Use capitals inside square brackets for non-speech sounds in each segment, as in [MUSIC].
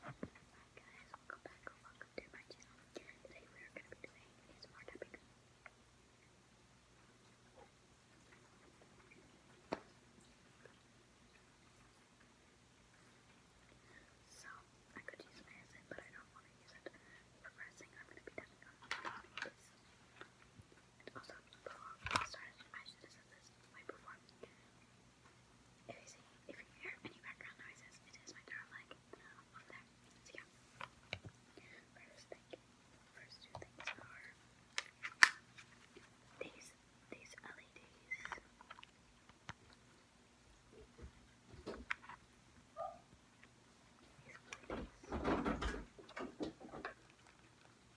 Hi guys, welcome back welcome to my channel. Today we are going to be doing ASMR tapping. So, I could use an but I don't want to use it. For pressing, I'm going to be tapping on this. Also, before I started, I should have said this way before. If you hear any background noises, it is my turn leg over there. So yeah. First thing, first two things are these These LEDs.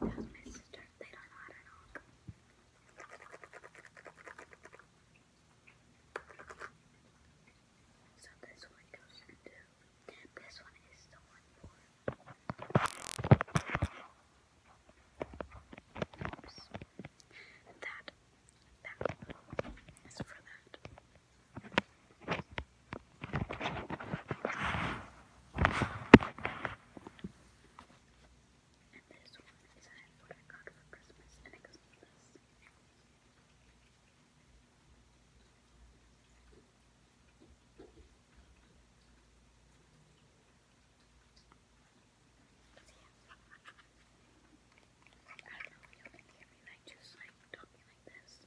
That's my sister. So this one goes into this one is the one for Oops. That that is for that. And this one is what I got for Christmas, and it goes like this. I don't know if you can hear me, I just like talking like this.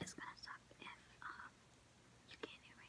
It's gonna suck if um you can't hear me.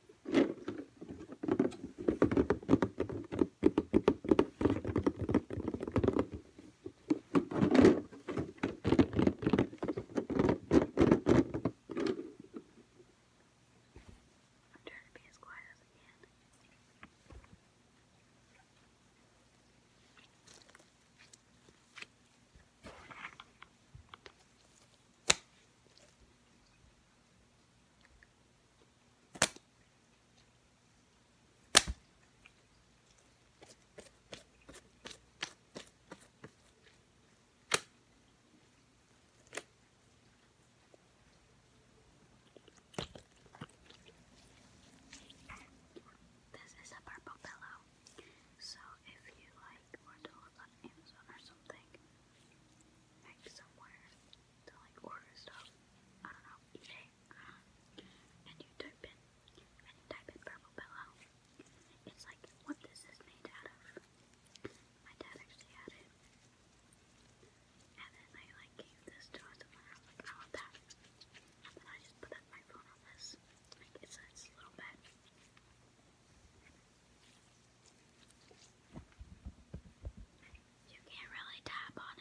trying to be as quiet as I can. This is a purple pillow, so if you like were to look on Amazon or something, like somewhere to like order stuff. I don't know, uh, And you type in, and type in purple pillow. It's like, what this is made out of. My dad actually had it. And then I like gave this to us, I was that. And then I just put that my on this. it's a, little bed. You can't really tap on it.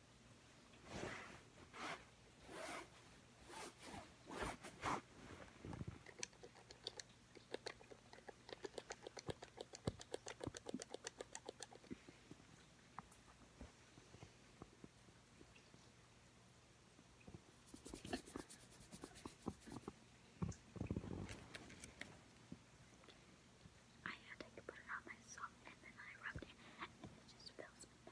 I had to put it on myself and then I rubbed it and it just fills my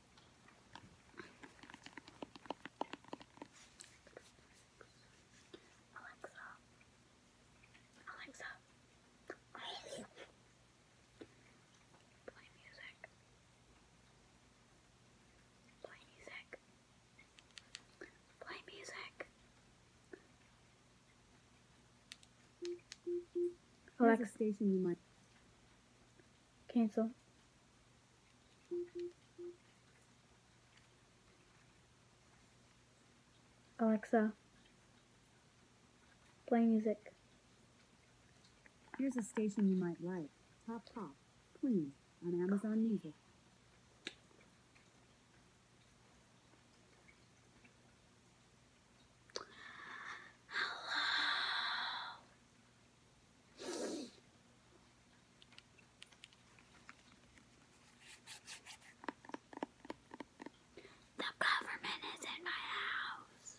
Alexa, Alexa, play music, play music, play music. Alexa station you might. Cancel. Alexa, play music. Here's a station you might like. Top Top, Please on Amazon Music. The government is in my house.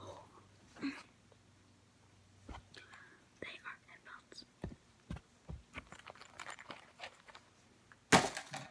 Oh. they are headphones. Like that.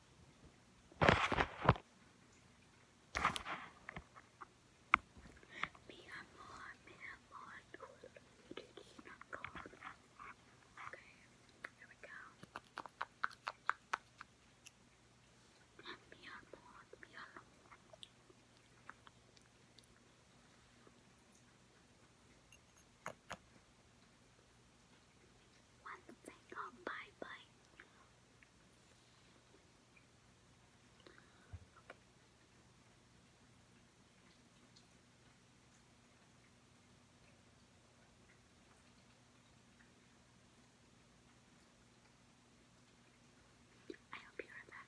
Mi amor, mi amor, you did not call. Okay, here we go. Mi amor, mi amor once they go bye bye. I hope you heard that.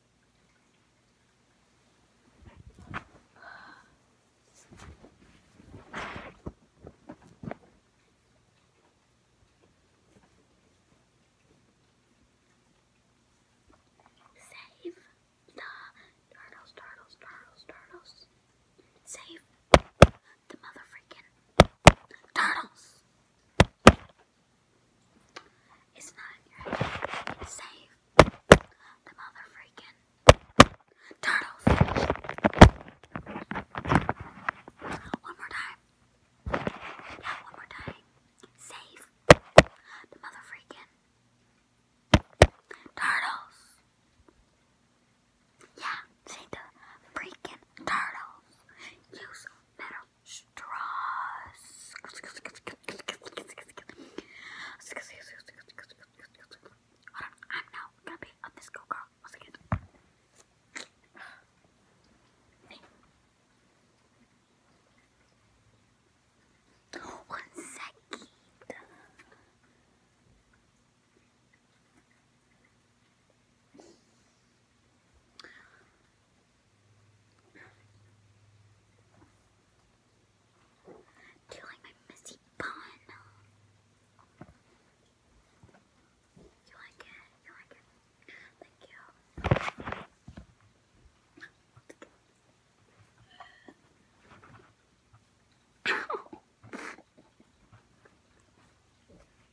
Save the turtles, turtles, turtles, turtles. Save the mother turtles. It's not your head. the mother turtles. One more time. Yeah, one more time. Save the mother turtles. Yeah, save the freaking turtles. Use metal straws. I'm now gonna be a disco girl. One second. Do you like my messy bun? You like it? You like it? Thank you. [LAUGHS]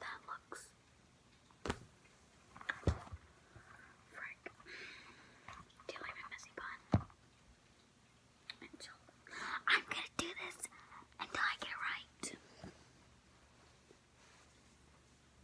that looks frick. Do I have a messy bun? I'm gonna do this until I get right.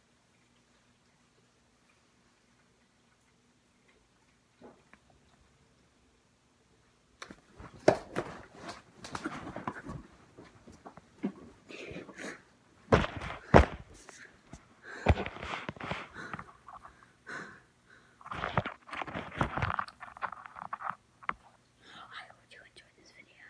I hope you enjoyed this video.